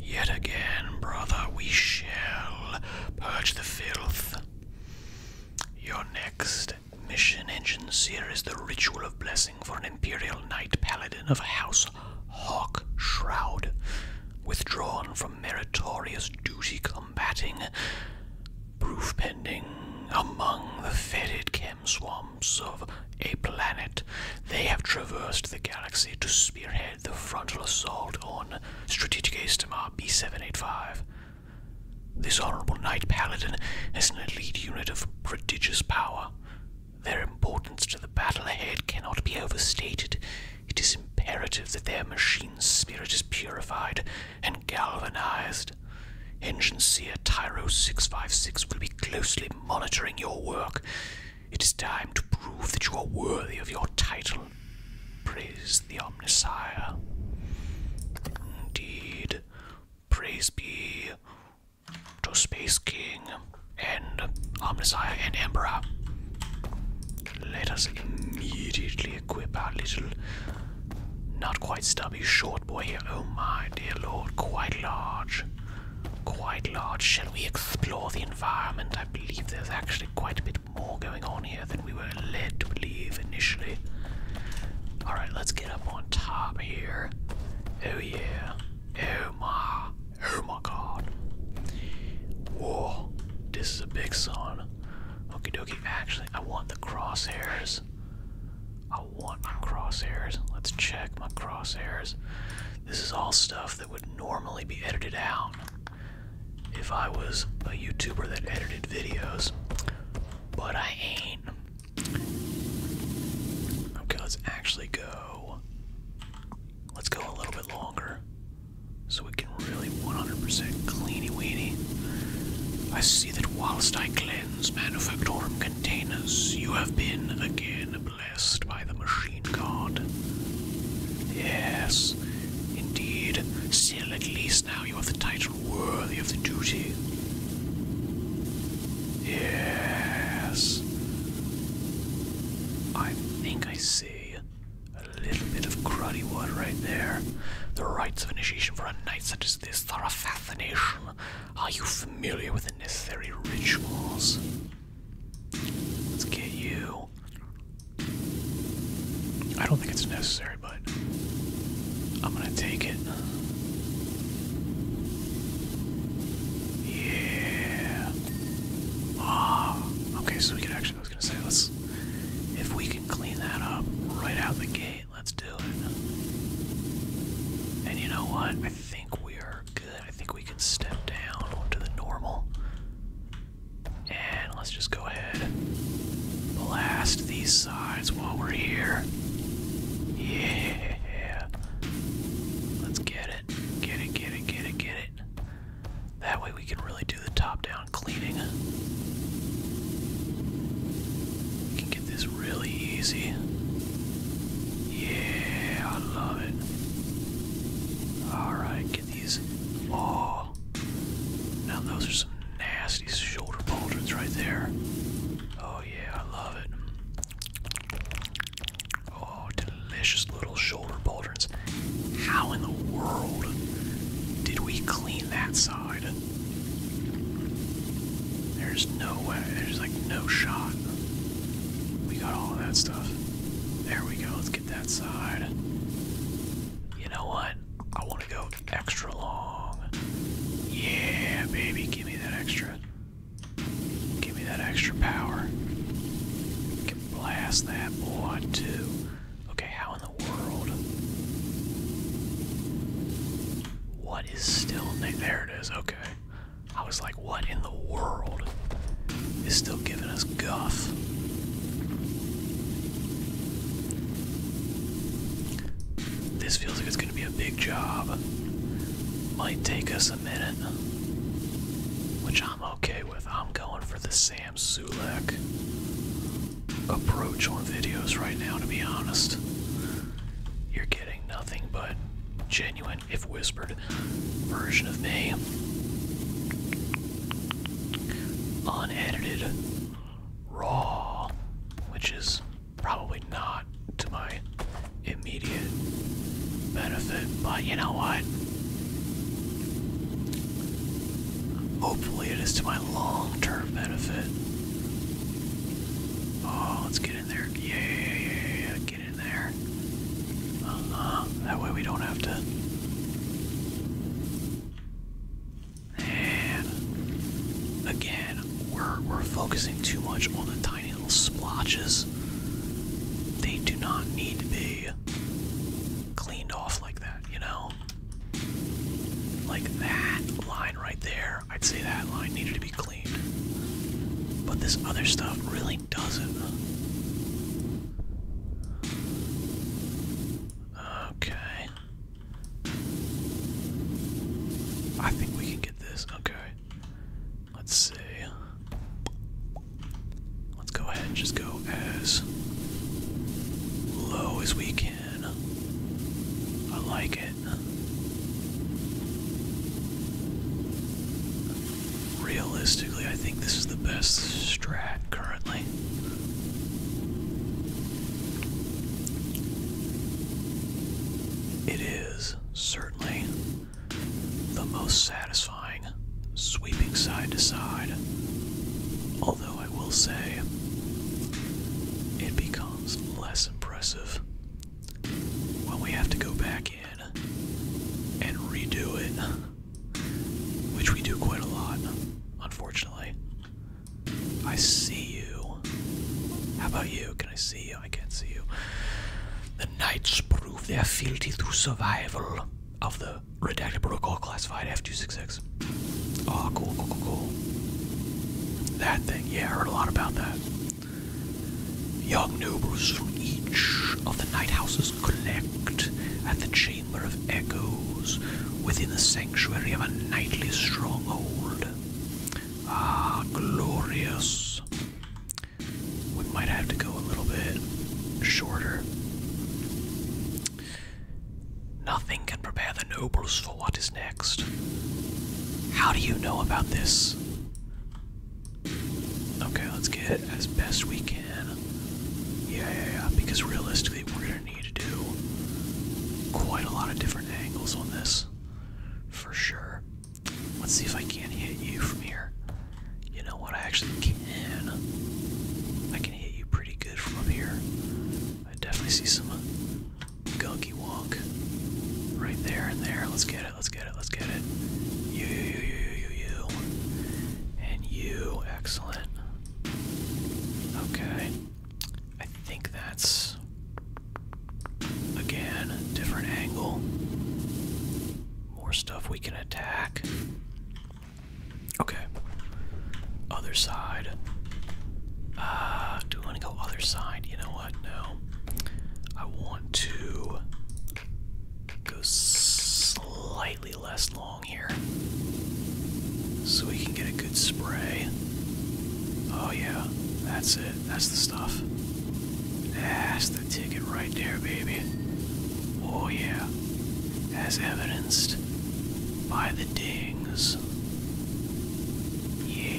Yet again, brother, we shall purge the filth. Your next mission engine seer is the ritual of blessing for an imperial knight paladin of House Hawk Shroud, withdrawn from meritorious duty combating, proof pending among the fetid chemswamps of a planet. They have traversed the galaxy to spearhead the frontal assault on Strategic Istamar B785. This honorable knight paladin is an elite unit of prodigious power. Their importance to the battle ahead cannot be overstated. It is imperative that their machine spirit is purified and galvanized. Engine Seer Tyro 656 will be closely monitoring your work it is time to prove that you are worthy of your title. Praise the Omnisire. Indeed, praise be to Space King and Omnisire and Emperor. Let us immediately equip our little, not quite stubby short boy Oh my dear lord, quite large quite large. Shall we explore the environment? I believe there's actually quite a bit more going on here than we were led to believe initially. Alright, let's get up on top here. Oh yeah. Oh my. Oh my god. Whoa. This is a big sun. Okie dokie. Actually, I want the crosshairs. I want my crosshairs. Let's check my crosshairs. This is all stuff that stuff would normally be edited out if I was a YouTuber that edited videos. But I ain't. Okay, let's actually go. Let's go a little bit longer so we can really 100% cleany weeny. I see that whilst I cleanse Manufactorum containers, you have been again blessed by the machine god. Yes, indeed. Still, at least now you have the title worthy of the duty. Yes. I think I see a little bit of cruddy wood right there. The rites of initiation for a night such as this are a fascination. Are you familiar with the necessary rituals? Let's get you. I don't think it's necessary, but I'm gonna take it. Yeah. Ah. Okay, so we can actually. I was gonna say let's. If we can clean that up right out the gate, let's do it. And you know what? I think we are good. I think we can step down onto the normal. And let's just go ahead blast these sides while we're here. Yeah. Let's get it. Get it, get it, get it, get it. That way we can really do the top down cleaning. We can get this really easy. Yeah, I love it. Alright, Oh, now those are some nasty shoulder pauldrons right there. Oh yeah, I love it. Oh, delicious little shoulder pauldrons. How in the world did we clean that side? There's no way. There's like no shot. We got all of that stuff. There we go that side. You know what? I want to go extra long. Yeah, baby, give me that extra. Give me that extra power. can blast that boy too. Okay, how in the world? What is still there? It is okay. I was like, what in the? the world is still giving us guff. This feels like it's going to be a big job. Might take us a minute, which I'm okay with. I'm going for the Sam Sulek approach on videos right now, to be honest. You're getting nothing but genuine, if whispered, version of me. Unedited, raw, which is probably not to my immediate benefit, but you know what? Hopefully, it is to my long term benefit. Oh, let's get in there. Yeah, get in there. Uh -huh. That way we don't have to. And again, we're we're focusing too much on the tiny little splotches. They do not need to be cleaned off like that, you know? Like that line right there, I'd say that line needed to be cleaned. But this other stuff really doesn't. Okay. I think we can get this. Okay. Let's see. Let's go ahead and just go as low as we can. I like it. Realistically, I think this is the best strat currently. It is certainly the most satisfying sweeping side to side, although I will say it becomes less impressive when we have to go back in and redo it which we do quite a lot, unfortunately. I see you. How about you? Can I see you? I can't see you. The knights prove their fealty through survival of the redacted protocol classified F266. Oh, ah, cool, cool, cool, cool. That thing, yeah, I heard a lot about that. Young nobles from each of the night houses collect at the chamber of echoes within the sanctuary of a nightly stronghold. Ah, glorious. We might have to go a little bit shorter. Nothing can prepare the nobles for what is next. How do you know about this? Okay, let's get it as best we can. Yeah, yeah, yeah. Because realistically, we're gonna need to do quite a lot of different angles on this, for sure. Let's see if I can hit you from here. You know what? I actually can. I can hit you pretty good from up here. I definitely see some gunky wonk right there and there. Let's get it. Let's get it. Let's get it. You, you, you, you, you, you, and you. Excellent. Excellent. Okay. I think that's again different angle. More stuff we can attack. Okay. Other side. Uh, do we want to go other side? You know what? No. I want to go slightly less long here so we can get a good spray. Oh, yeah, that's it. That's the stuff. That's the ticket right there, baby. Oh, yeah, as evidenced by the dings. Yeah.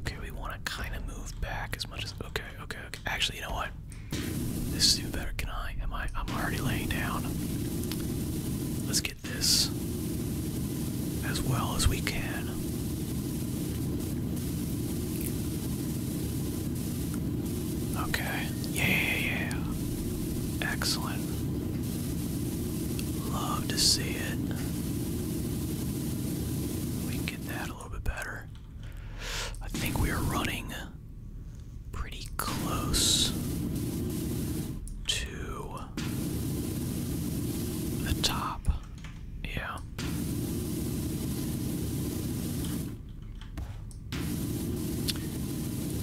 Okay, we want to kind of move back as much as. Okay, okay, Actually, you know what? This is even better. Can I? Am I? I'm already laying down. Let's get this as well as we can. Okay. yeah, yeah. Excellent. Love to see it. We can get that a little bit better. I think we are running pretty close to the top. Yeah.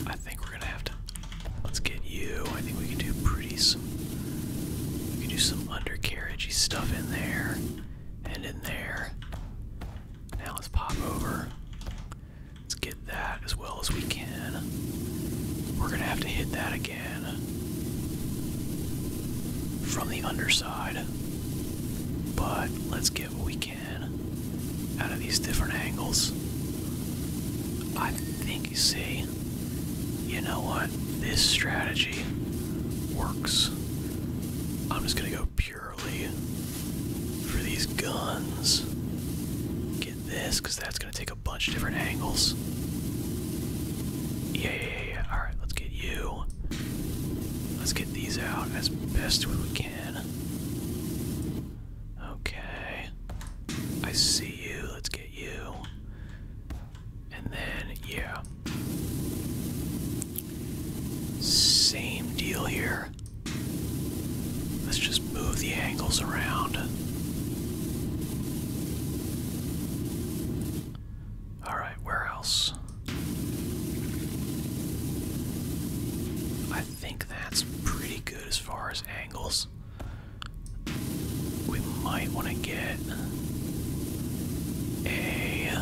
I think we're gonna have to let's get you. I think we can do pretty we can do some undercarriagey stuff in there and in there now let's pop over. Let's get that as well as we can. We're gonna have to hit that again from the underside. But let's get what we can out of these different angles. I think you see, you know what? This strategy works. I'm just gonna go pure for these guns. Get this, because that's going to take a bunch of different angles. Yeah, yeah, yeah, yeah. Alright, let's get you. Let's get these out as best we can. Okay. I see you. Let's get you. And then, yeah. Same deal here. Let's just move the angles around. Alright, where else? I think that's pretty good as far as angles. We might want to get a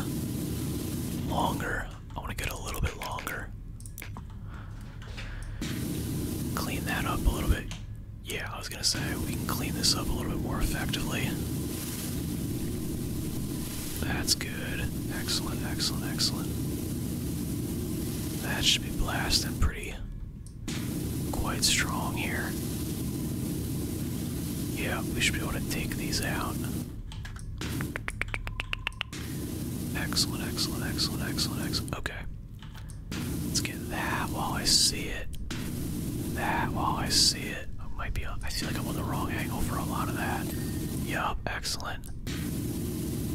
longer I want to get a little bit longer. Clean that up a little bit. Yeah, I was gonna say we can clean this up a little bit more effectively. That's good. Excellent, excellent, excellent. That should be blasting pretty quite strong here. Yeah, we should be able to take these out. Excellent, excellent, excellent, excellent, excellent. Okay. Let's get that while I see it. That while I see it. I might be, I feel like I'm on the wrong angle for a lot of that. Yup, excellent.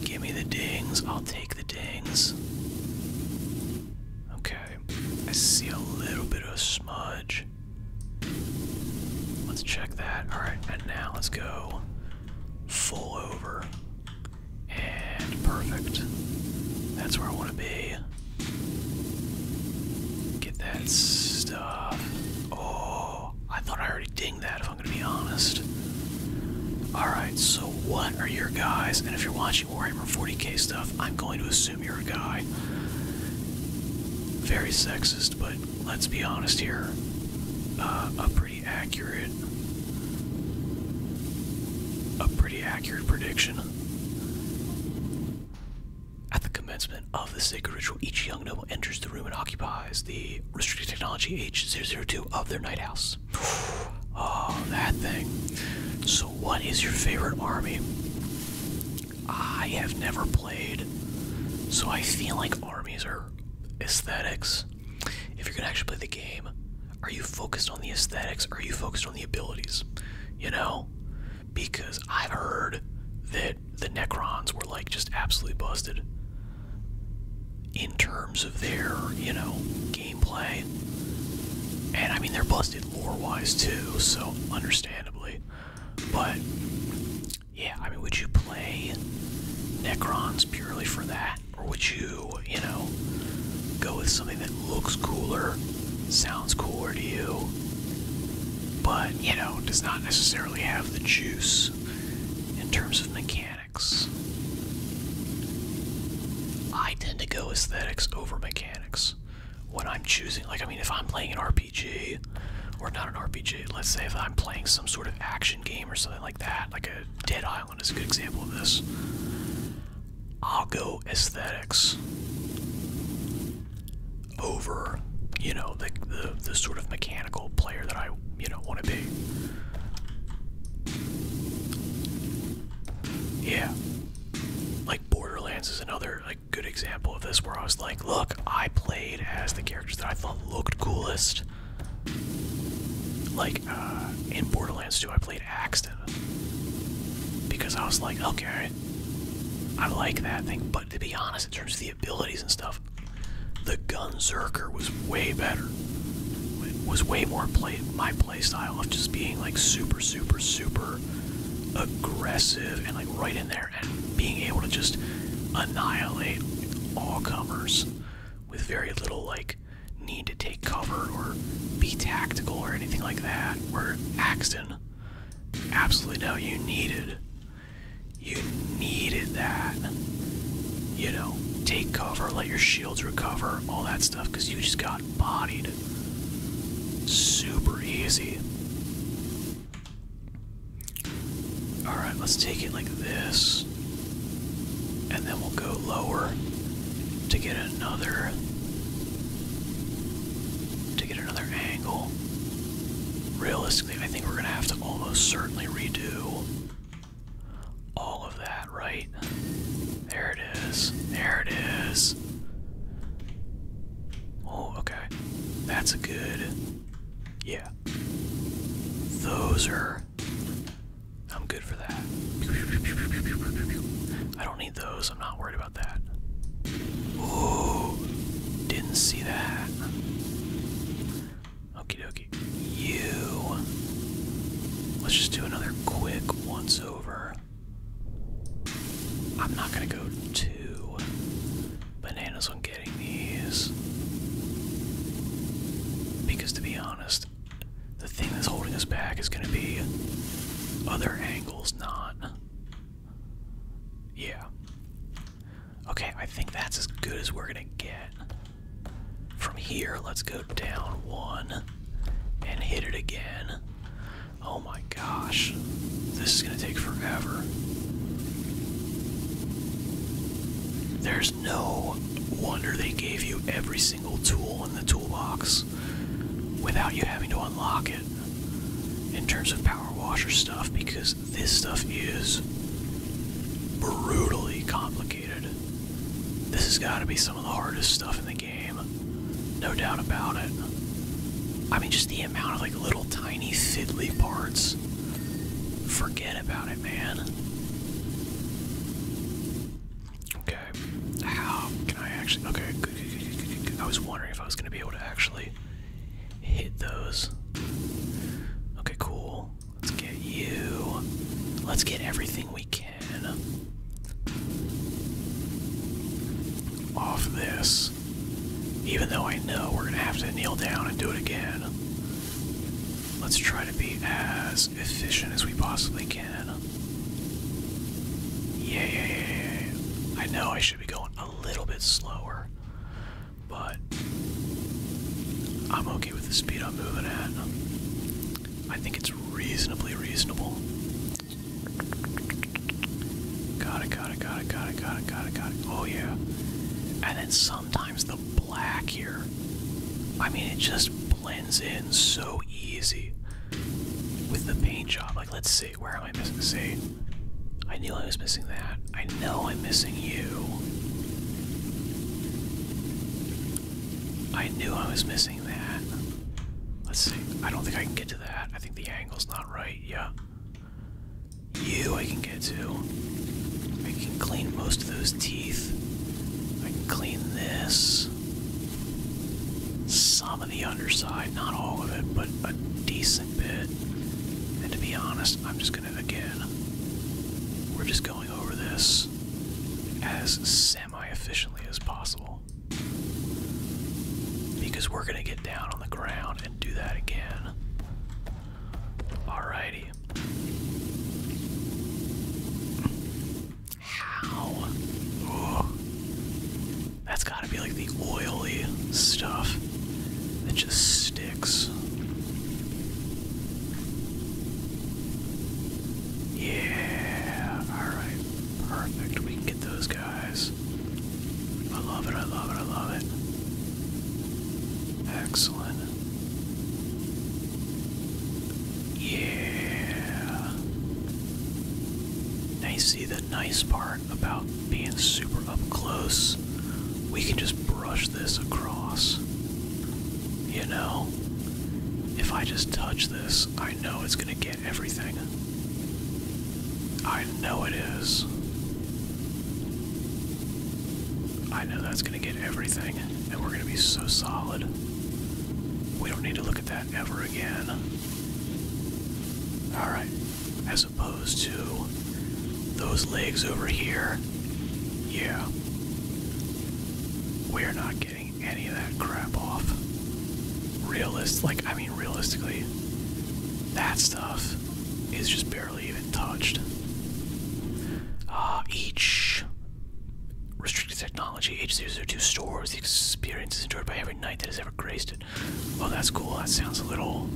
Give me the dings. I'll take the dings. Okay. I see a little bit of smudge. Let's check that. Alright, and now let's go full over, and perfect. That's where I want to be. Get that stuff. Oh, I thought I already dinged that, if I'm going to be honest. Alright, so what are your guys? And if you're watching Warhammer 40k stuff, I'm going to assume you're a guy. Very sexist, but let's be honest here, uh, a pretty accurate, a pretty accurate prediction. At the commencement of the sacred ritual, each young noble enters the room and occupies the restricted technology age 2 of their night house. Oh, that thing. So, what is your favorite army? I have never played, so I feel like armies are aesthetics. If you're gonna actually play the game, are you focused on the aesthetics or are you focused on the abilities? You know? Because I've heard that the Necrons were like just absolutely busted in terms of their, you know, gameplay. And I mean, they're busted lore wise too, so understandably. But yeah, I mean, would you play Necrons purely for that? Or would you, you know, go with something that looks cooler, sounds cooler to you, but, you know, does not necessarily have the juice in terms of mechanics? I tend to go aesthetics over mechanics when I'm choosing. Like, I mean, if I'm playing an RPG, or not an RPG, let's say if I'm playing some sort of action game or something like that. Like a Dead Island is a good example of this. I'll go aesthetics over, you know, the the, the sort of mechanical player that I, you know, want to be. Yeah. Like Borderlands is another like good example of this where I was like, look, I played as the characters that I thought looked coolest. Like, uh, in Borderlands 2, I played Axton. Because I was like, okay, I like that thing. But to be honest, in terms of the abilities and stuff, the Gunzerker was way better. was way more play my playstyle of just being like super, super, super aggressive and like right in there and being able to just annihilate all comers with very little like need to take cover or be tactical or anything like that. Where Axton, absolutely no, you needed, you needed that. You know, take cover, let your shields recover, all that stuff, because you just got bodied. Super easy. All right, let's take it like this. And then we'll go lower to get another to get another angle. Realistically, I think we're gonna have to almost certainly redo all of that, right? There it is. There it is. Oh, okay. That's a good. Yeah, those are. I'm good for that. I don't need those. I'm not worried about that. Ooh, didn't see that. Okie dokie. You. Let's just do another quick once over. I'm not gonna go to bananas on getting these. Because to be honest, the thing that's holding us back is going to be other angles, not. Yeah. Okay, I think that's as good as we're going to get. From here, let's go down one and hit it again. Oh my gosh. This is going to take forever. There's no wonder they gave you every single tool in the toolbox without you having to unlock it in terms of power washer stuff because this stuff is brutally complicated. This has got to be some of the hardest stuff in the game, no doubt about it. I mean, just the amount of like little tiny fiddly parts. Forget it about it, man. Okay, how can I actually? Okay, I was wondering if I was gonna be able to actually hit those. Okay, cool. Let's get you. Let's get everything we can off this. Even though I know we're gonna have to kneel down and do it again. Let's try to be as efficient as we possibly can. Yeah, yeah, yeah, yeah, I know I should be going a little bit slower, but I'm okay with the speed I'm moving at. I think it's reasonably reasonable. Got it, got it, got it, got it, got it, got it, got it. Oh, yeah. And then sometimes the black here. I mean, it just blends in so easy with the paint job. Like, let's see, where am I missing? See, I knew I was missing that. I know I'm missing you. I knew I was missing that. Let's see, I don't think I can get to that. I think the angle's not right, yeah. You, I can get get to. I can clean most of those teeth. I can clean this. Some of the underside, not all of it, but a decent bit. And to be honest, I'm just gonna, again, we're just going over this as semi efficiently as possible. Because we're gonna get down on the ground and do that again. Alrighty. How? That's gotta be like the oily stuff that just sticks. Yeah, alright, perfect. We can get those guys. I love it, I love it, I love it. Excellent, yeah. Now you see the nice part about being super up close. We can just brush this across. You know? If I just touch this, I know it's gonna get everything. I know it is. I know that's going to get everything, and we're going to be so solid. We don't need to look at that ever again. Alright, as opposed to those legs over here, yeah. We're not getting any of that crap off. Realist, like, I mean, realistically, that stuff is just barely even touched. Uh, each restricted technology agencies two stores the experience is enjoyed by every knight that has ever graced it. Well, that's cool. That sounds a little.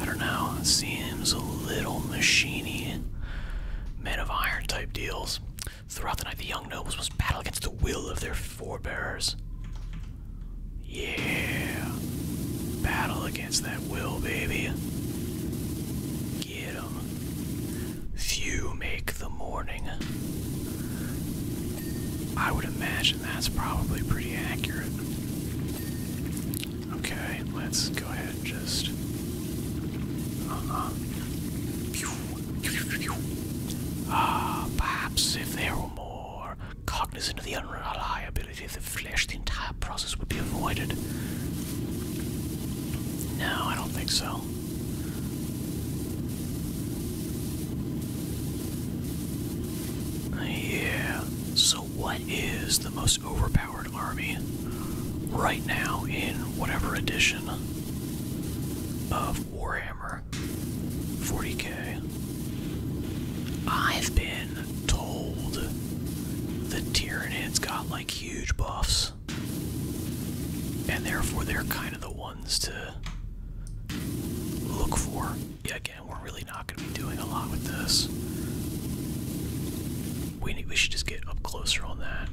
I don't know. It seems a little machiny. Men of iron type deals. Throughout the night, the young nobles must battle against the will of their forebears. Yeah. Battle against that will, baby. Few make the morning. I would imagine that's probably pretty accurate. Okay, let's go ahead and just. Uh, uh, ah, perhaps if they were more cognizant of the unreliability of the flesh, entire process would be avoided. No, I don't think so. Yeah. So, what is the most overpowered army right now in whatever edition of Warhammer 40k? I've been told the Tyranids got like huge buffs. And therefore, they're kind of the ones to look for. Yeah, again, we're really not going to be doing a lot with this. We, we should just get up closer on that.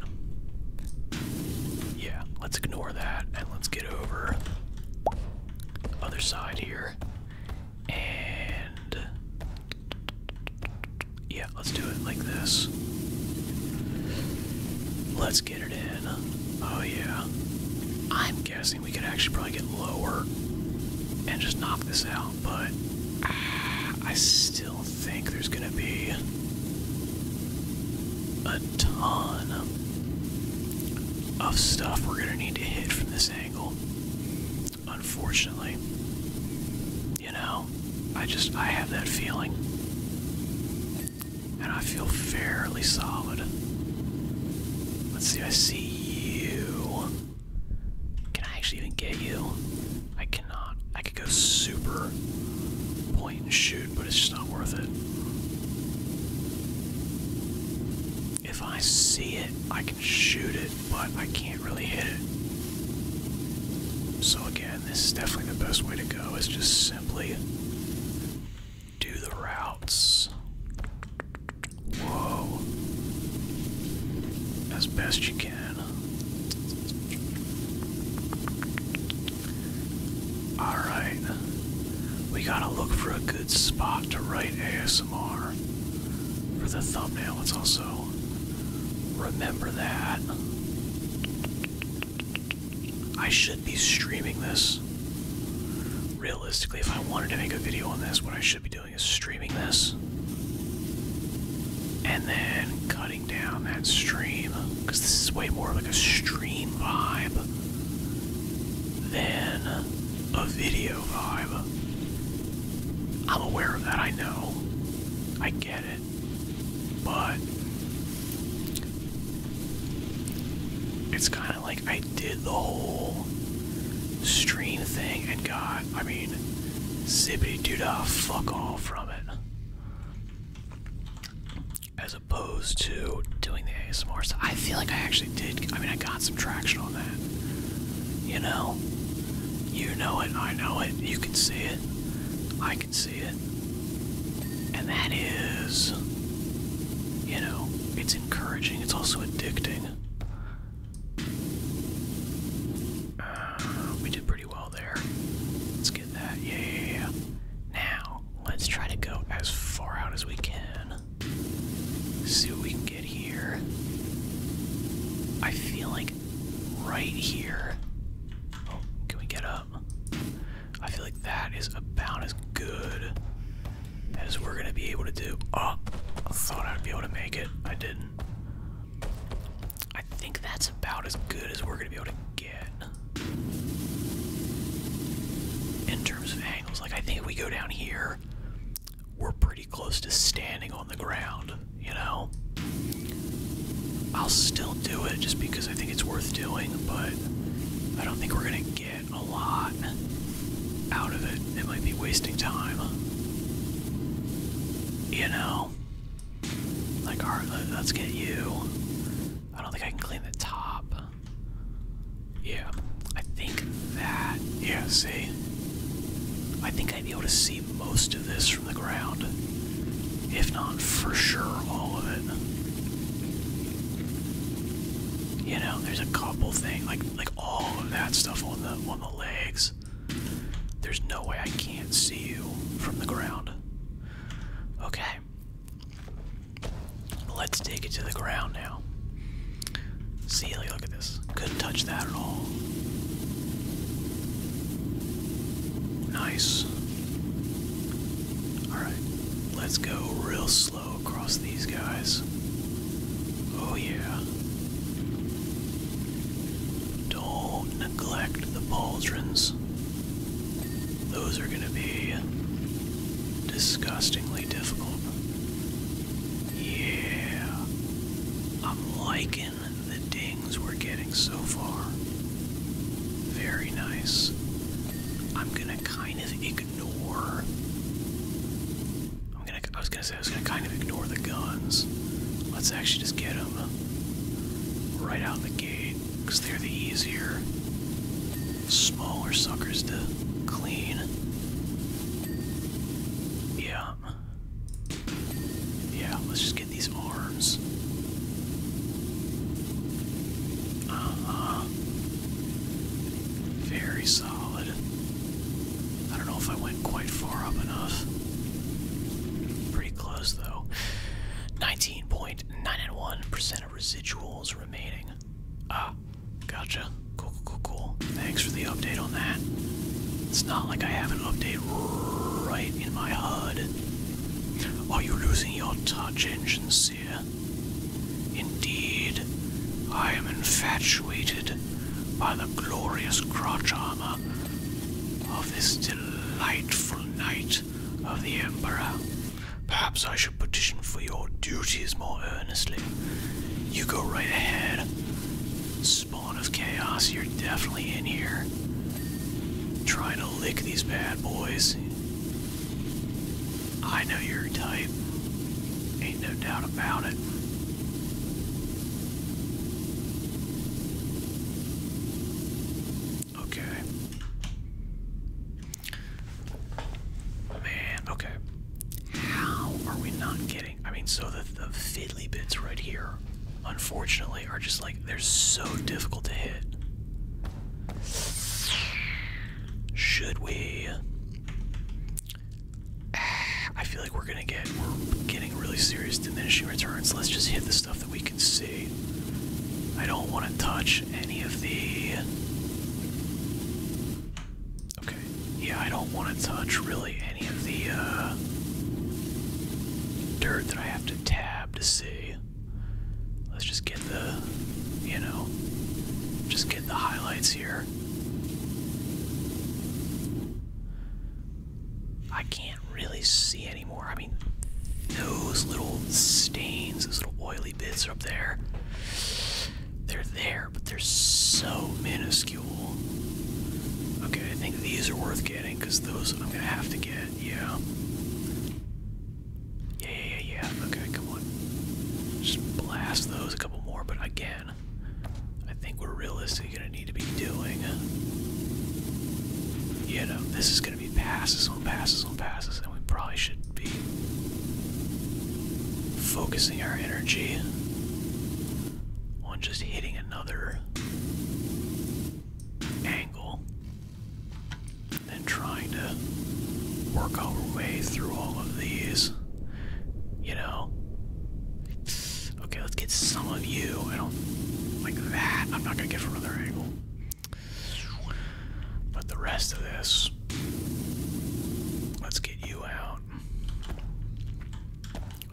Yeah, let's ignore that and let's get over other side here. And yeah, let's do it like this. Let's get it in. Oh, yeah. I'm guessing we could actually probably get lower and just knock this out, but I still think there's gonna be a ton of stuff we're gonna need to hit from this angle, unfortunately. You know, I just, I have that feeling. And I feel fairly solid. Let's see, I see you. Can I actually even get you? I cannot. I could go super point and shoot, but it's just not worth it. If I see it, I can shoot it but I can't really hit it. So again, this is definitely the best way to go is just simply do the routes. Whoa. As best you can. Alright. We gotta look for a good spot to write ASMR for the thumbnail. It's also Remember that. I should be streaming this. Realistically, if I wanted to make a video on this, what I should be doing is streaming this. And then cutting down that stream. Because this is way more like a stream vibe than a video vibe. I'm aware of that, I know. I get it. But it's kind of like I did the whole stream thing and got, I mean, zippity doo dah fuck all from it. As opposed to doing the ASMR stuff. I feel like I actually did, I mean, I got some traction on that. You know? You know it, I know it, you can see it. I can see it. And that is, you know, it's encouraging, it's also addicting. Uh, we did pretty well there. Let's get that. Yeah, Now, let's try to go as far out as we can. See what we can get here. I feel like right here can we get up? I feel like that is about as good as we're gonna be able to do. Oh, I thought I'd be able to make it. I didn't. I think that's about as good as we're gonna be able to get. In terms of angles, like I think if we go down here, we're pretty close to standing on the ground you know? I'll still do it just because I think it's worth doing, but I don't think we're gonna get a lot out of it. It might be wasting time. You know? Like, alright, let's get you. I don't think I can clean the top. Yeah, I think that. Yeah, see? I think I'd be able to see most of this from the ground, if not for sure all of it. You know, there's a couple things like like all of that stuff on the on the legs. There's no way I can't see you from the ground. Okay. Let's take it to the ground now. See, like, look at this. Couldn't touch that at all. Nice. Alright, let's go real slow across these guys. Oh, yeah. Don't neglect the pauldrons. Those are gonna be disgustingly difficult. Yeah. I'm liking the dings we're getting so far. Very nice. I'm gonna kind of ignore. I'm gonna. I was gonna say I was gonna kind of ignore the guns. Let's actually just get them right out the gate because they're the easier, smaller suckers to clean. Yeah, yeah, let's just get these arms. uh Very solid. I don't know if I went quite far up enough. Pretty close though. 19.91% of residuals remaining. Ah, gotcha. Cool, cool, cool, cool. Thanks for the update on that. It's not like I have an update right in my HUD are you losing your touch, Ancient Seer? Indeed, I am infatuated by the glorious crotch armor of this delightful knight of the Emperor. Perhaps I should petition for your duties more earnestly. You go right ahead spawn of chaos, you're definitely in here. Trying to lick these bad boys. I know your type. Ain't no doubt about it. Okay. Man, okay. How are we not getting? I mean, so the, the fiddly bits right here unfortunately, are just like they're so difficult to hit. Should we? I feel like we're gonna get we're getting really serious diminishing returns. Let's just hit the stuff that we can see. I don't want to touch any of the. Okay. Yeah, I don't want to touch really any of the uh, dirt that I have to tap to see. Let's just get the, you know, just get the highlights here. I can't really see anymore. I mean, those little stains, those little oily bits up there, they're there, but they're so minuscule. Okay, I think these are worth getting because those I'm gonna have to get yeah. Yeah, yeah, yeah, yeah. Okay, come on. Just blast those a couple more, but again, I think we're realistically gonna need to be doing. You know, this is gonna be passes on passes on passes, and we probably should be focusing our energy on just hitting another angle then trying to work our way through all of these you know okay let's get some of you i don't like that i'm not gonna get from another angle but the rest of this let's get you out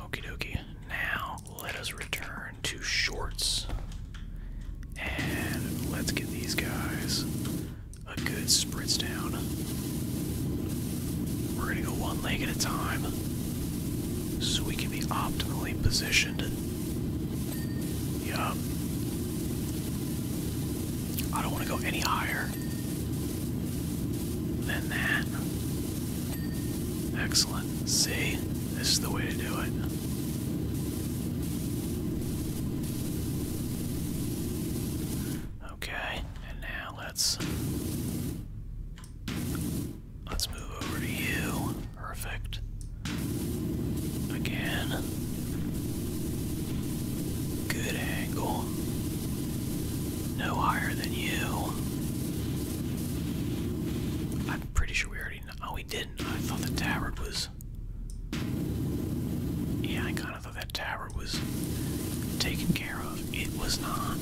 okie dokie now let us return to shorts. And let's get these guys a good spritz down. We're gonna go one leg at a time so we can be optimally positioned. Yup. I don't want to go any higher than that. Excellent. See? This is the way to do it. Okay, and now let's let's move over to you. Perfect. Again. Good angle. No higher than you. I'm pretty sure we already already Oh, we didn't. I thought the tower was. Yeah, I kind of thought that tower was taken care of. It was not.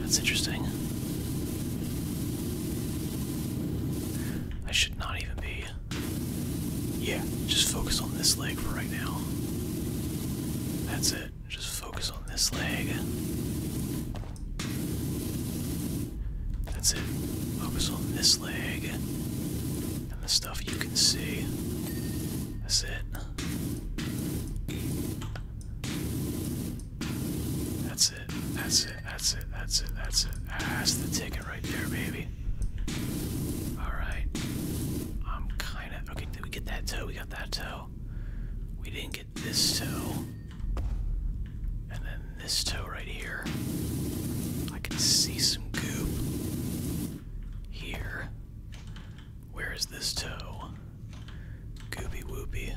That's interesting. I should not even be. Yeah, just focus on this leg for right now. That's it. Just focus on this leg. That's it. Focus on this leg and the stuff you can see. That's it. That's it. That's it. That's it. That's it. That's it. That's the ticket right there, baby. Alright. I'm kinda. Okay, did we get that toe? We got that toe. We didn't this toe. And then this toe right here. I can see some goop here. Where is this toe? Goopy whoopy.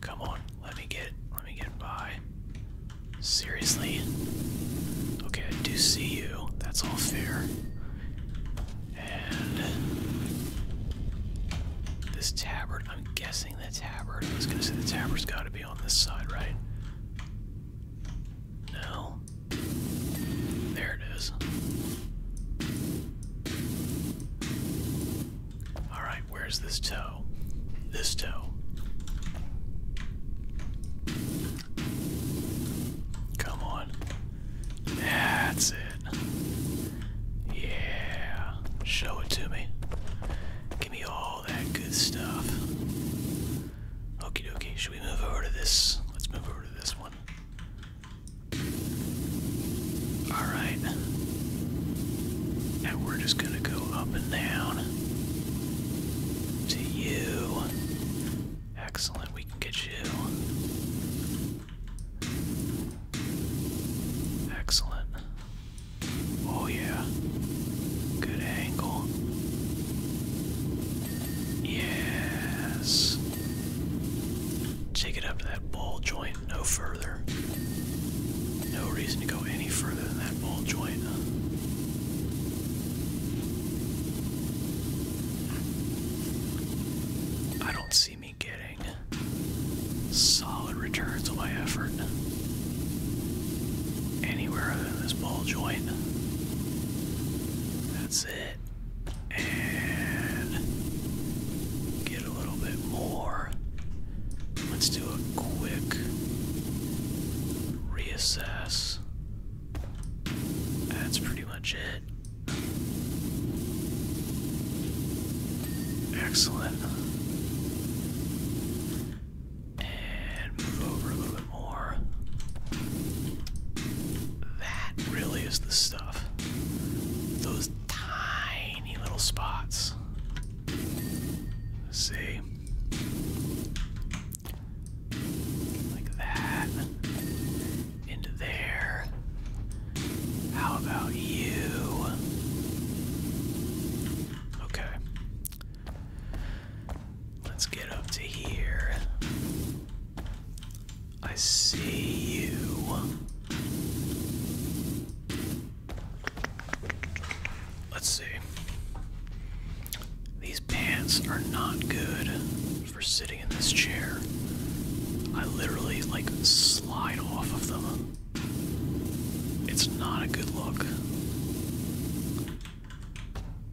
Come on, let me get let me get by. Seriously? Okay, I do see you. That's all fair. And this tabard, I'm guessing the tabard. I was gonna say the tabard's gotta be on this side, right? No. There it is. Alright, where's this toe? This toe. Come on. That's it. Yeah. Show it to me. Give me all that good stuff. Okie dokie. Should we move over to this? Let's move over to this one. Alright. Now we're just gonna go up and down. To you. Excellent. We can get you. Excellent. Oh, yeah. Good angle. Yes. Take it up to that ball joint no further. No reason to go any further than that ball joint. I don't see getting solid returns on my effort anywhere in this ball joint. That's it. And get a little bit more. Let's do a quick reassess. That's pretty much it. Excellent. And move over a little bit more. That really is the stuff. Those tiny little spots. see. Like that. Into there. How about you? Okay. Let's get up to here. I see you. Let's see. These pants are not good for sitting in this chair. I literally like slide off of them. It's not a good look.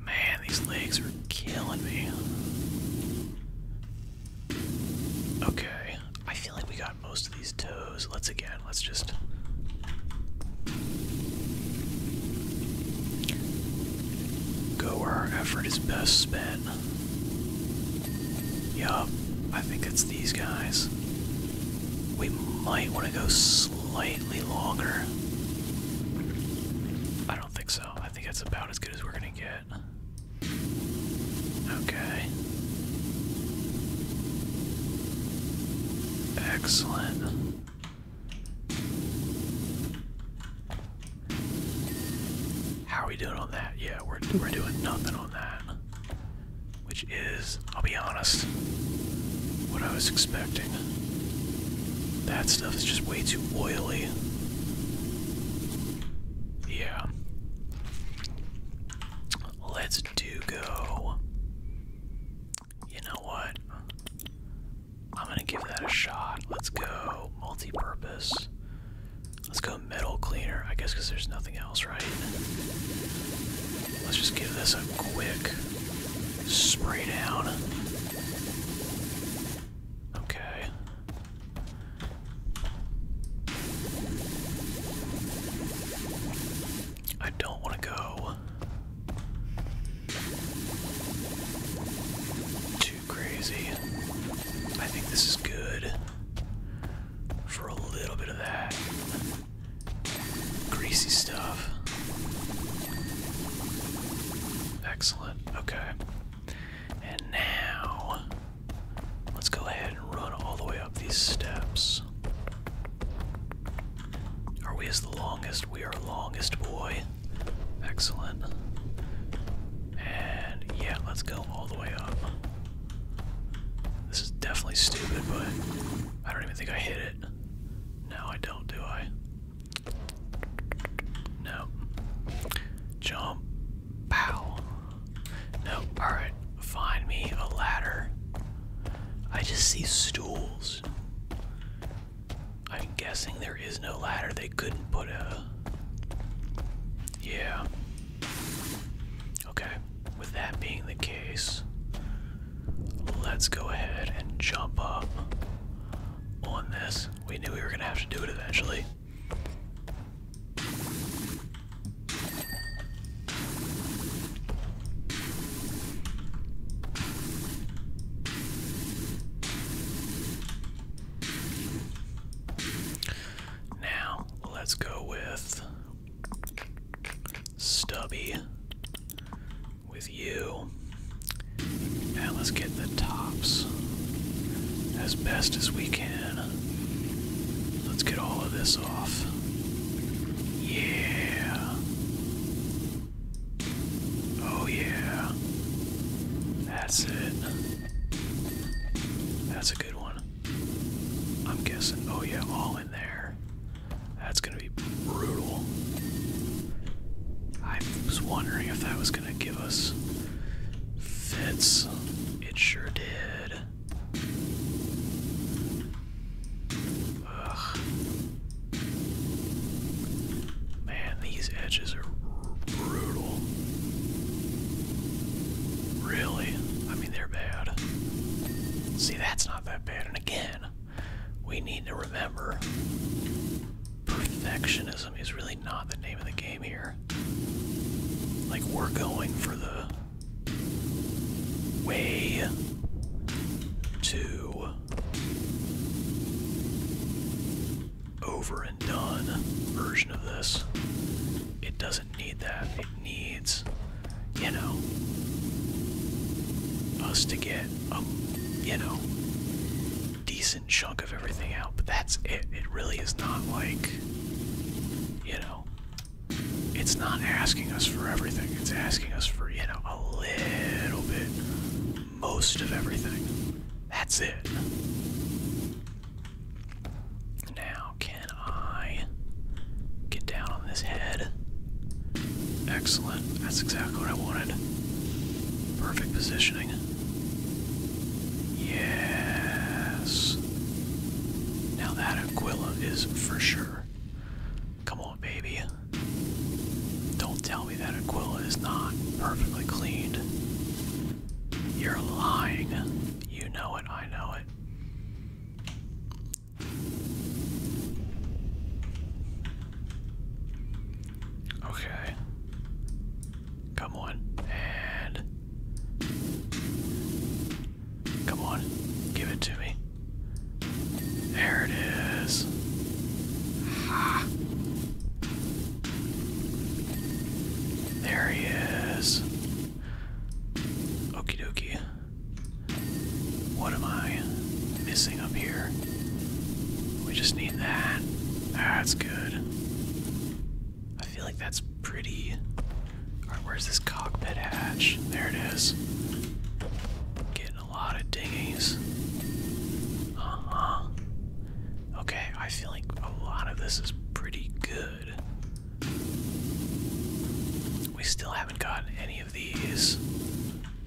Man, these legs are killing me. Okay, I feel like we got most of these toes. Let's again, let's just. Go where our effort is best spent. Yeah, I think it's these guys. We might want to go slightly longer. I don't think so. I think that's about as good as we're going to get. Okay. Excellent. How are we doing on that? Yeah, we're doing nothing on that. Which is, I'll be honest, what I was expecting. That stuff is just way too oily. Yeah. Let's do go. You know what? I'm gonna give that a shot. Let's go multi purpose. Let's go metal cleaner. I guess there's nothing else, right? Let's just give this a quick spray down. Okay. I don't want to go too crazy. I think this is good for a little bit of that greasy stuff. Excellent. Okay. And now let's go ahead and run all the way up these steps. Are we as the longest? We are longest boy. Excellent. And yeah, let's go all the way up. This is definitely stupid, but I don't even think I hit it. No, I don't, do I? No. Jump. Pow. No. Alright. Find me a ladder. I just see stools. I'm guessing there is no ladder. They couldn't put a. Yeah. Okay, with that being the case, let's go ahead and jump up on this. We knew we were gonna have to do it eventually. Now, let's go with Stubby with you. Now let's get the tops as best as we can. Let's get all of this off. Yeah. Oh, yeah. That's it. That's a good one. I'm guessing. Oh, yeah, all in there. That's gonna be brutal. I was wondering if that was gonna give us fits. It sure did. Ugh. Man, these edges are brutal. Really? I mean, they're bad. See, that's not that bad. And again, we need to remember perfectionism is really not the name of the game here. Like, we're going for the way to over and done version of this. It doesn't need that. It needs, you know, us to get a, you know, decent chunk of everything out. But that's it. It really is not like, you know, it's not asking us for everything. It's asking us for, you know, a little bit, most of everything. That's it. Now, can I get down on this head? Excellent. That's exactly what I wanted. Perfect positioning. Yes. Now that Aquila is for sure. Come on, baby. Don't tell me that Aquila is not perfectly cleaned. You're lying. You know it, I know it. Okay. Come on. And. Come on. Give it to me. There it is. There he is. Okie dokie. What am I missing up here? We just need that. That's good. I feel like that's pretty. Alright, where's this cockpit hatch? There it is. Getting a lot of dinghies. Uh huh. Okay, I feel like a lot of this is pretty good. We still haven't gotten any of these,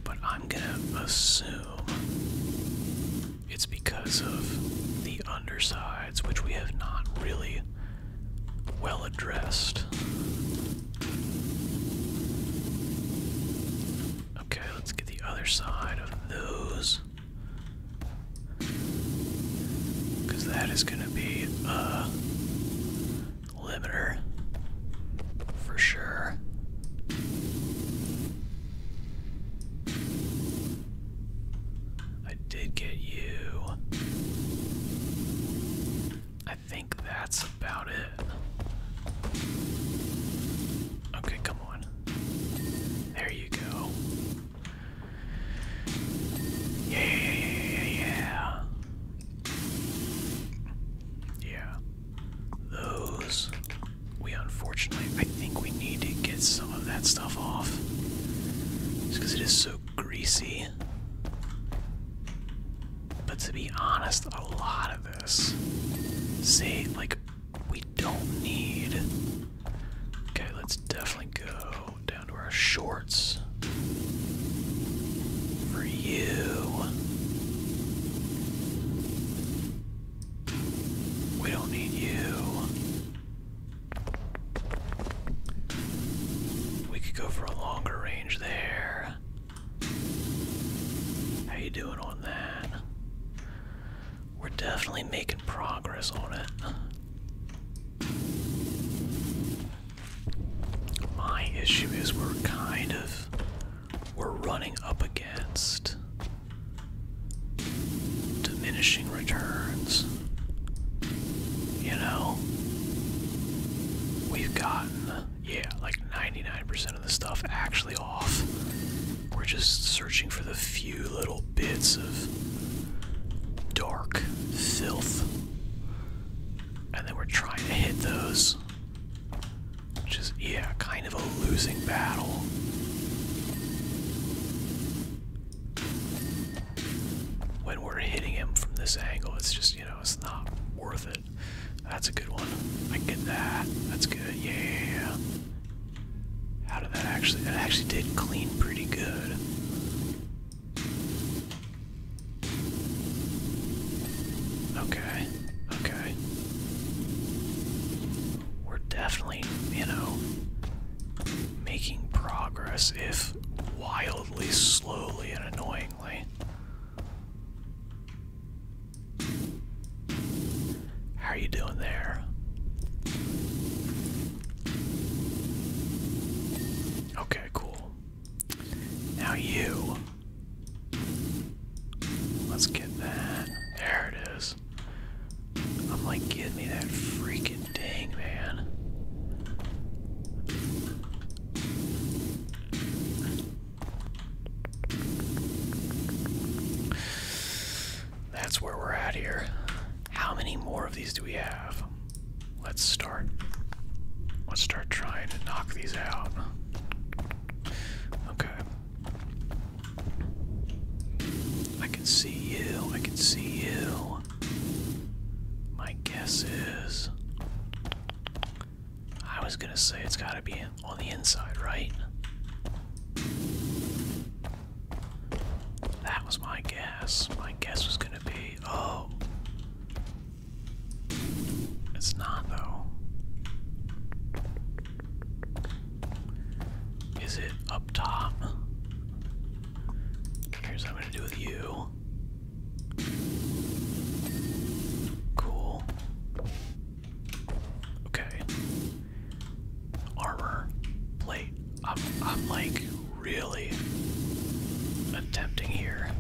but I'm gonna assume it's because of the undersides, which we have not really well addressed. Okay, let's get the other side of those. Because that is going to be a uh, limiter for sure. I did get you. I think that's about it. Okay, come on. There you go. Yeah, yeah, yeah. Those. We unfortunately, I think we need to get some of that stuff off. Just because it is so greasy. But to be honest, a lot of this. see, like, we don't need. Okay, let's definitely go down shorts. For you. We don't need you. We could go for a longer range there. How you doing on that? We're definitely making progress on it. My issue is we're kind of we're running up against diminishing returns. You know, we've gotten yeah, like 99% of the stuff actually off. We're just searching for the few little bits of dark filth and then we're trying to hit those. Which is, yeah, kind of a losing battle. When we're hitting him from this angle, it's just, you know, it's not worth it. That's a good one. I get that. That's good. Yeah. How did that actually? That actually did clean pretty good. Okay, okay. We're definitely, you know, making progress if wildly slowly and annoyingly. How are you doing there? Okay, cool. Now you. Let's get that. There it is. I'm like, me that freaking dang, man. That's where we're at here. How many more of these do we have? Let's start. Let's start trying to knock these out. Okay. I can see you. I can see you. My guess is. I was gonna say it's gotta be on the inside, right? That was my guess. My guess was gonna be. Oh. It's not, though. Is it up top? Here's what I'm gonna do with you. Cool. Okay. Armor. Plate. I'm, I'm like really really attempting here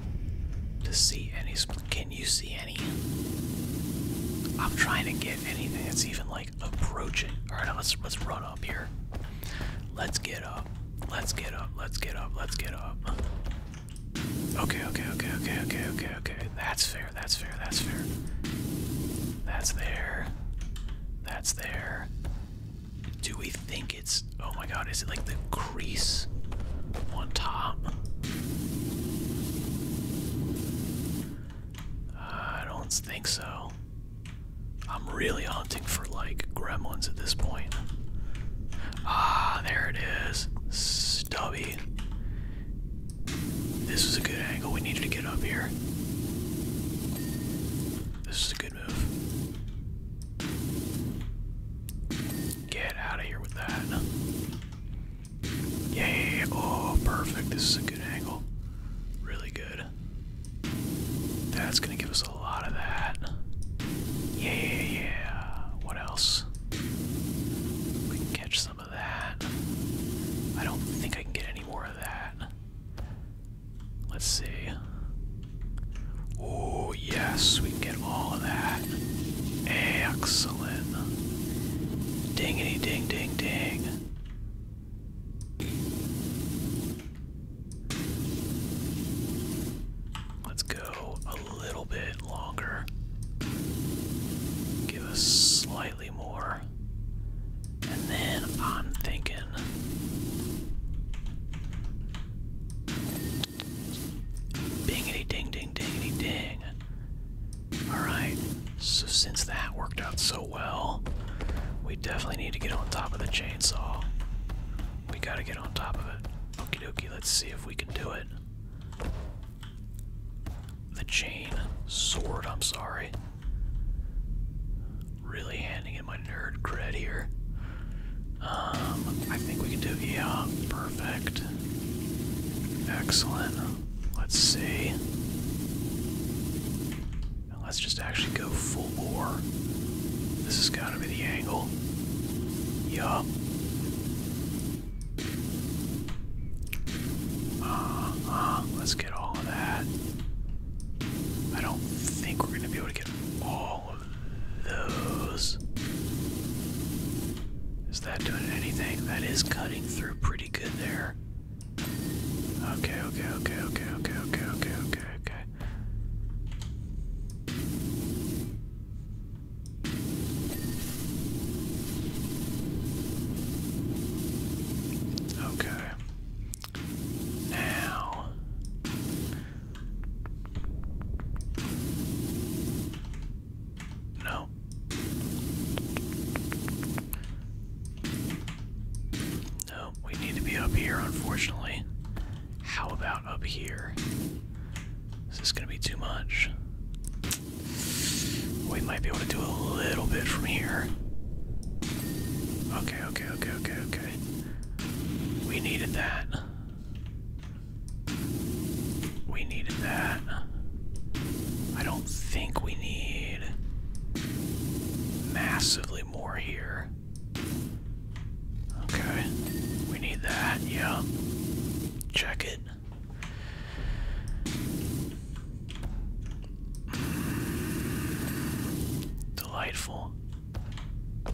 to see any. Can you see any? I'm trying to get anything that's even like approaching. All right, let's let's run up here. Let's get up. Let's get up. Let's get up. Let's get up. Okay, okay, okay, okay, okay, okay, okay. That's fair. That's fair. That's fair. That's there. That's there. Do we think it's, oh my god, is it like the crease on top? Uh, I don't think so. I'm really hunting for like gremlins at this point. Ah, there it is. Stubby. This was a good angle. We needed to get up here. This is a good move. Get out of here with that. Yeah, oh, perfect. This is a good angle. Really good. That's gonna give us a lot of that. Yeah, yeah. What else? We can catch some of that. I don't think I can get any more of that. Let's see. Oh, yes, we can get all of that. Excellent. Dingity ding ding ding. Let's go a little bit longer. Give us slightly more. And then I'm thinking Dingity ding ding dingity ding. Alright, so since that worked out so well, we definitely need to get on top of the chainsaw. We gotta get on top of it. Okey-dokey. let's see if we can do it. The chain sword, I'm sorry. Really handing in my nerd cred here. Um, I think we can do yeah, perfect. Excellent. Let's see. let's just actually go full bore. This is gotta be the angle. Yup. Uh Let's get all of that. I don't think we're gonna be able to get all those. Is that doing anything? That is cutting through pretty good there. Okay, okay, okay, okay, okay, okay, okay, okay, okay. Okay. Now no. No, we need to be up here, unfortunately. How about up here? Is this going to be too much? We might be able to do a little bit from here. Okay, okay, okay, okay, okay. We needed that. We needed that. I don't think we need massively more here. Okay. We need that. Yeah. Check it. Mm. Delightful.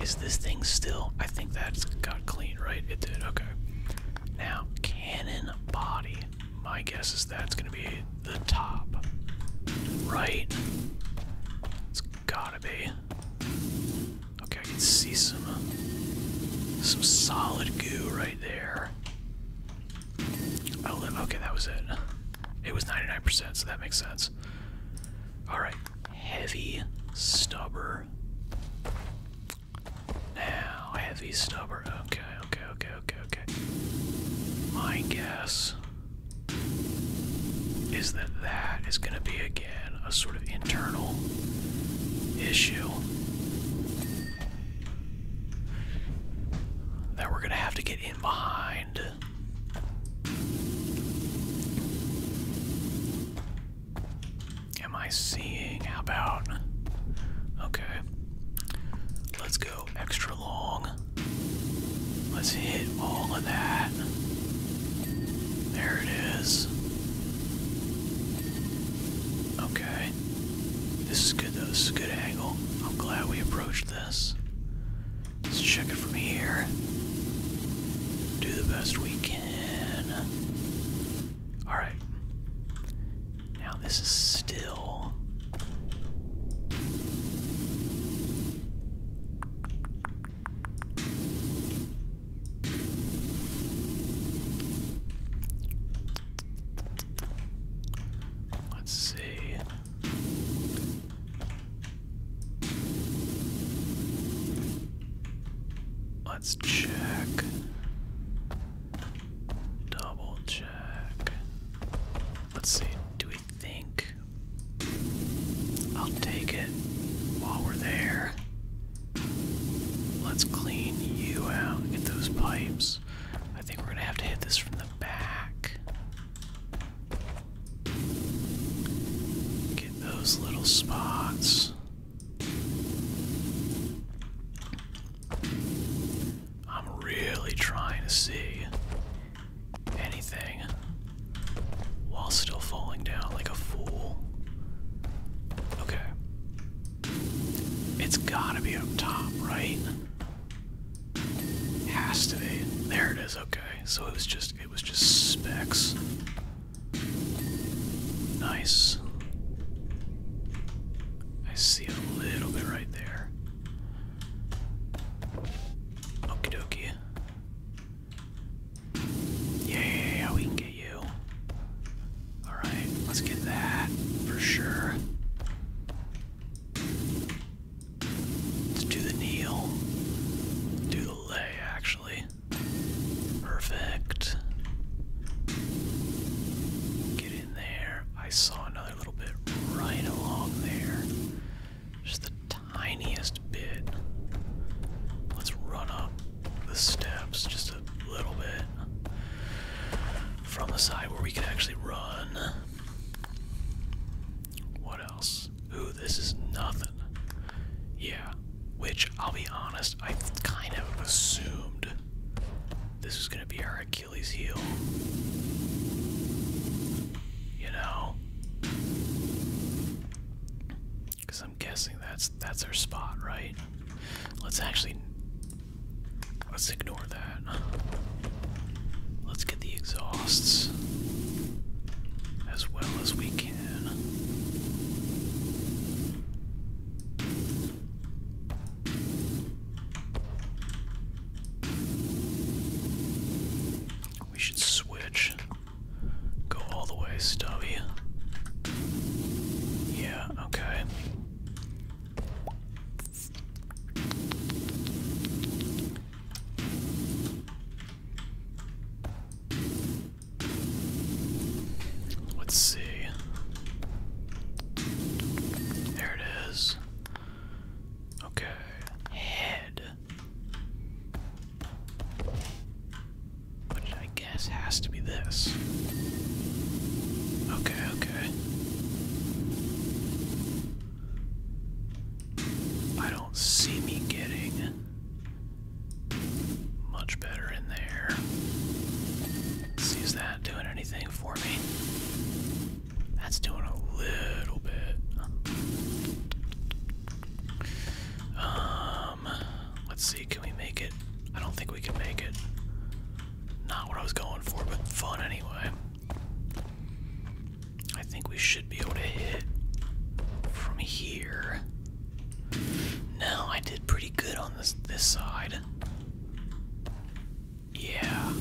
Is this thing still? I think that's got clean, right? It did, okay. Now, cannon body. My guess is that's gonna be the top. Right? It's gotta be. Okay, I can see some some solid goo right there. Oh, okay, that was it. It was 99%, so that makes sense. Alright, heavy stubber. Now, heavy stubber. Okay, okay, okay, okay, okay. My guess is that that is going to be, again, a sort of internal issue that we're going to have to get in behind. Am I seeing? about. Okay. Let's go extra long. Let's hit all of that. There it is. Okay. This is good though. This is a good angle. I'm glad we approached this. Let's check it from here. Do the best we can. Alright. Now this is still. Let's see. Let's check. Double check. Let's see. Do we think? I'll take it while we're there. Let's clean you out. Get those pipes. I think we're going to have to hit this from the back. Get those little spots. I'm really trying to see anything while still falling down like a fool. Okay. It's gotta be up top, right? Has to be. There it is, okay. So it was just it was just specs. Nice. I see a little bit right there. Okie dokie. Yeah, yeah, yeah, we can get you. Alright, let's get that for sure. Let's do the kneel. Do the lay, actually. Perfect. Get in there. I saw another little bit right along there. Just the tiniest bit. Let's run up the steps just a little bit from the side where we can actually run. What else? Ooh, this is nothing. Yeah, which, I'll be honest, I kind of assumed this is going to be our Achilles heel. You know? Because I'm guessing that's that's our spot, right? Let's actually... Let's ignore that. Let's get the exhausts as well as we can. We should switch. Go all the way, Stubby. Yeah, okay. Let's see. There it is. Okay. Head. Which I guess has to be this. Okay, okay. I don't see me getting much better in there. that doing anything for me? That's doing a little bit. Um, let's see, can we make it? I don't think we can make it. Not what I was going for, but fun anyway. I think we should be able to hit from here. Now I did pretty good on this this side. Yeah.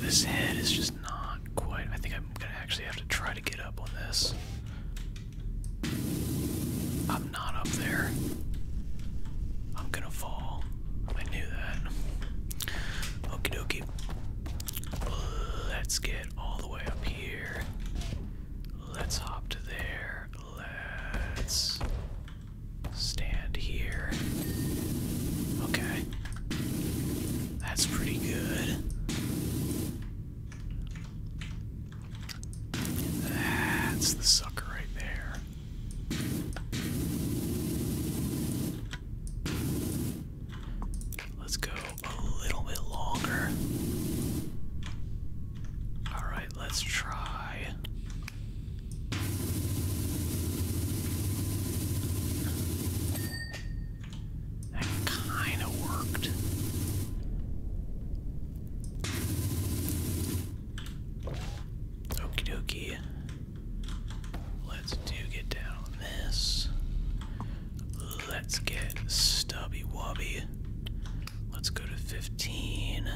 This head is just not quite. I think I'm gonna actually have to try to get up on this. I'm not up there. I'm gonna fall. I knew that. Okie dokie. Let's get all the way up here. Let's hop to there. Let's stand here. Okay. That's pretty good. That's the sucker right there. Let's go a little bit longer. Alright, let's try. That kind of worked. Okie dokie. Let's do get down this. Let's get Stubby Wubby. Let's go to 15.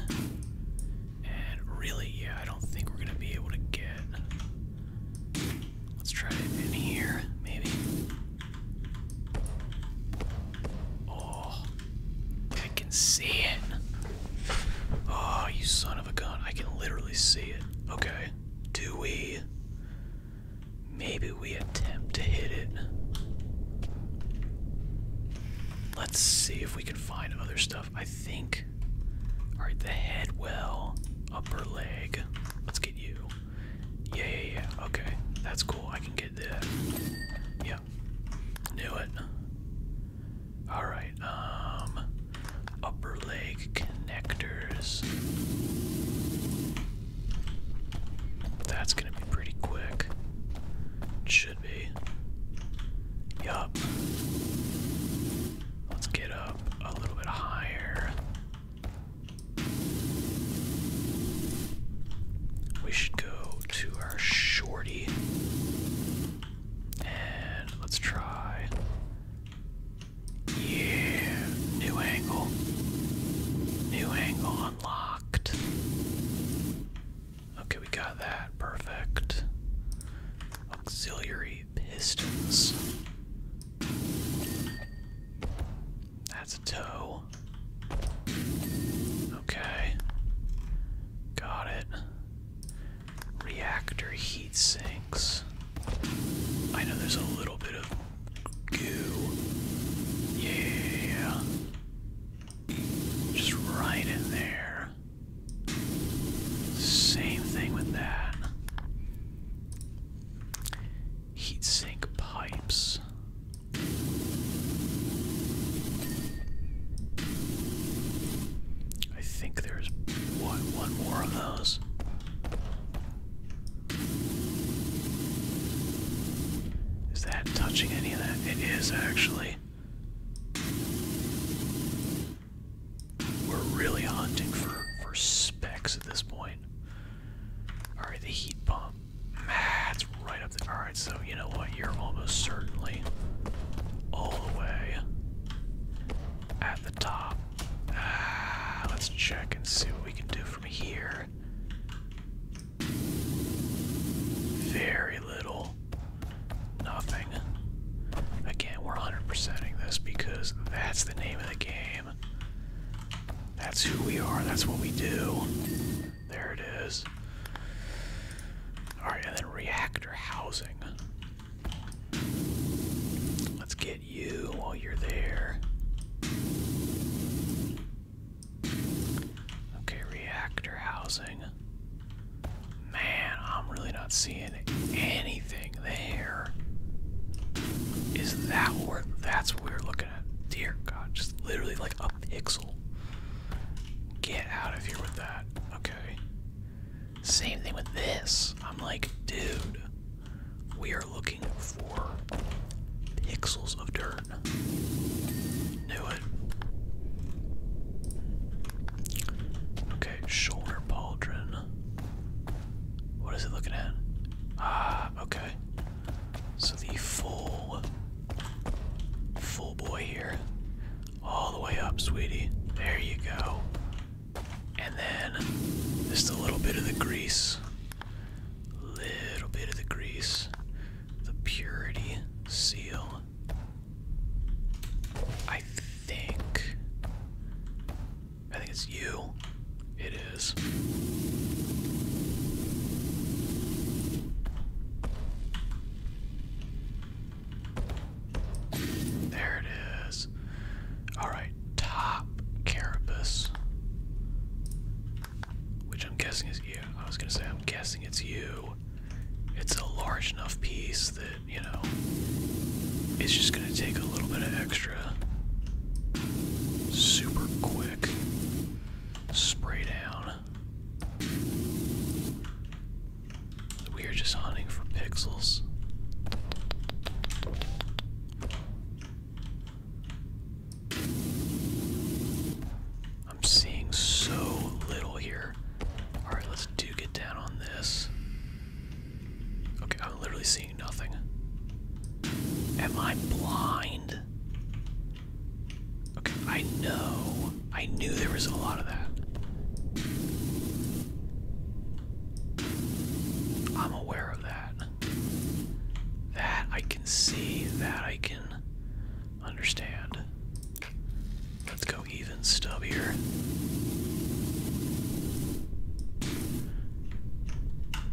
And really, yeah, I don't think we're going to be able to get. Let's try it in here, maybe. Oh, I can see it. Oh, you son of a gun. I can literally see it. Okay. Do we. Maybe we attempt to hit it. Let's see if we can find other stuff. I think. Alright, the head well, upper leg. Let's get you. Yeah, Okay, that's cool. I can get that. Yeah. Knew it. Alright, um. Upper leg connectors. That's gonna be pretty quick. should be. Yup. Let's get up a little bit higher. We should go to our shorty. And let's try. Yeah, new angle. New angle unlocked. Okay, we got that. Perfect. Auxiliary pistons. That's a toe. Okay. Got it. Reactor heat sinks. I know there's a little bit of goo. Yeah. Just right in there. Same thing with that. Heat sink pipes. I think there's one more of those. Is that touching any of that? It is actually. We're really hunting for, for specs at this point. Alright, the heat pump. That's right up there. Alright, so you know what? You're almost certainly all the way at the top. Ah, let's check and see what we can do from here. Very little. Nothing. Again, we're 100%ing this because that's the name of the game. That's who we are. That's what we do. There it is. Alright, and then reactor housing. Let's get you while you're there. Okay, reactor housing. Man, I'm really not seeing anything there. Is that where that's what we are looking at? Dear God, just literally like a pixel. Get out of here with that. Okay. Same thing with this. I'm like, dude, we are looking for pixels of dirt. Knew it. Okay, shoulder pauldron. What is it looking at? Ah, okay. So the full, full boy here. All the way up, sweetie. There you go. And then just a little bit of the grease. Little bit of the grease the purity seal. I think. I think it's you. It is. There it is. Alright, top carapace. Which I'm guessing is you. I was gonna say, I'm guessing it's you. It's a large enough piece that, you know, it's just gonna take a little bit of extra. Super quick spray down. We are just hunting for pixels. I'm seeing so little here. Alright, let's do get down on this. Okay, I'm literally seeing nothing. Am I blind? Okay, I know. I knew there was a lot of that. I'm aware of that. That I can see, that I can understand. Let's go even stubbier.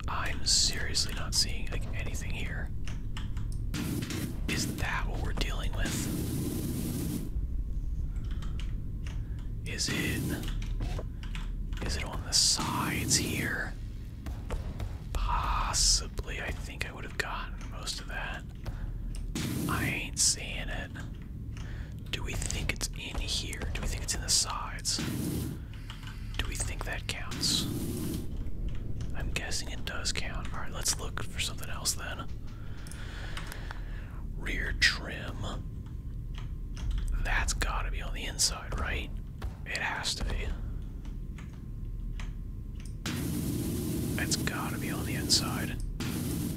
I'm seriously not seeing like anything here. Is that what we're dealing with? Is it is it on the sides here? Possibly. I think it would have gotten most of that. I ain't seeing it. Do we think it's in here? Do we think it's in the sides? Do we think that counts? I'm guessing it does count. Alright, let's look for something else then. Rear trim. That's gotta be on the inside, right? It has to be. It's gotta be on the inside.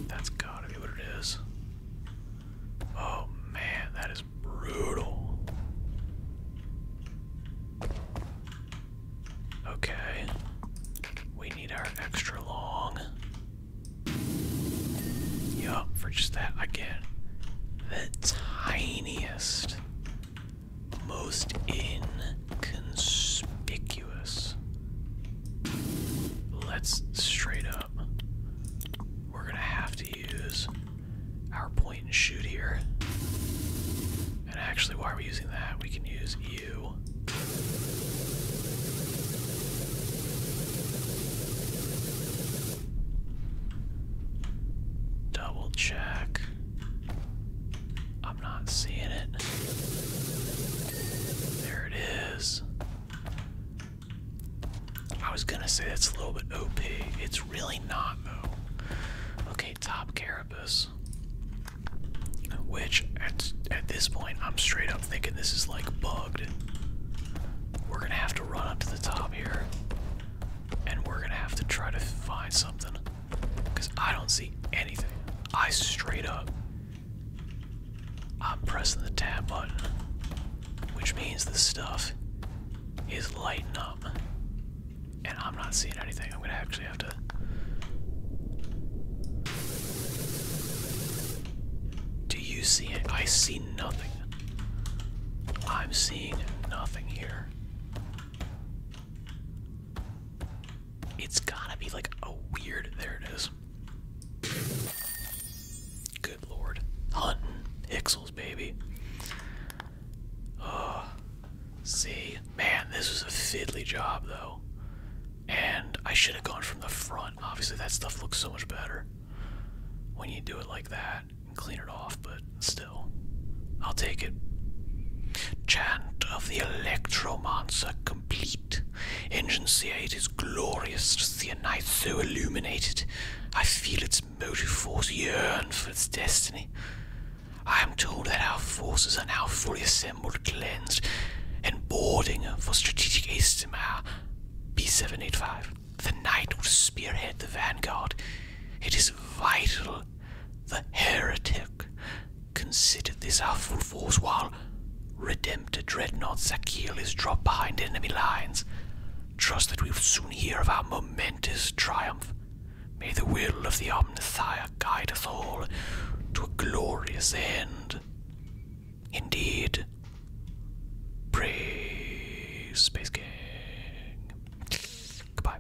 That's gotta be what it is. Oh man, that is brutal. Okay. We need our extra long. Yup, for just that, again, the tiniest most inconspicuous. Let's straight up. We're gonna have to use our point and shoot here. And actually, why are we using that? We can use you. Double check. I'm not seeing it. There it is. I was gonna say that's a little bit OP. It's really not though. Okay, top Carapace. Which at at this point I'm straight up thinking this is like bugged. We're gonna have to run up to the top here. And we're gonna have to try to find something. Because I don't see anything. I straight up. I'm pressing the tab button, which means the stuff is lighting up. And I'm not seeing anything. I'm going to actually have to. Do you see it? I see nothing. I'm seeing nothing here. It's gotta be like a weird. There it is. Good lord. Hunting. Pixels, baby. Oh, see? Man, this was a fiddly job, though. And I should have gone from the front. Obviously, that stuff looks so much better when you do it like that and clean it off, but still. I'll take it. Chant of the Electromancer complete. Engine C8 is glorious, just the night so illuminated. I feel its motive force yearn for its destiny. I am told that our forces are now fully assembled, cleansed, and boarding for strategic Istamar B785. The knight will spearhead the vanguard. It is vital the heretic, Consider this helpful force while Redemptor Dreadnought Zakil is dropped behind enemy lines. Trust that we will soon hear of our momentous triumph. May the will of the Omnithia guide us all to a glorious end. Indeed, praise Space Gang. Goodbye.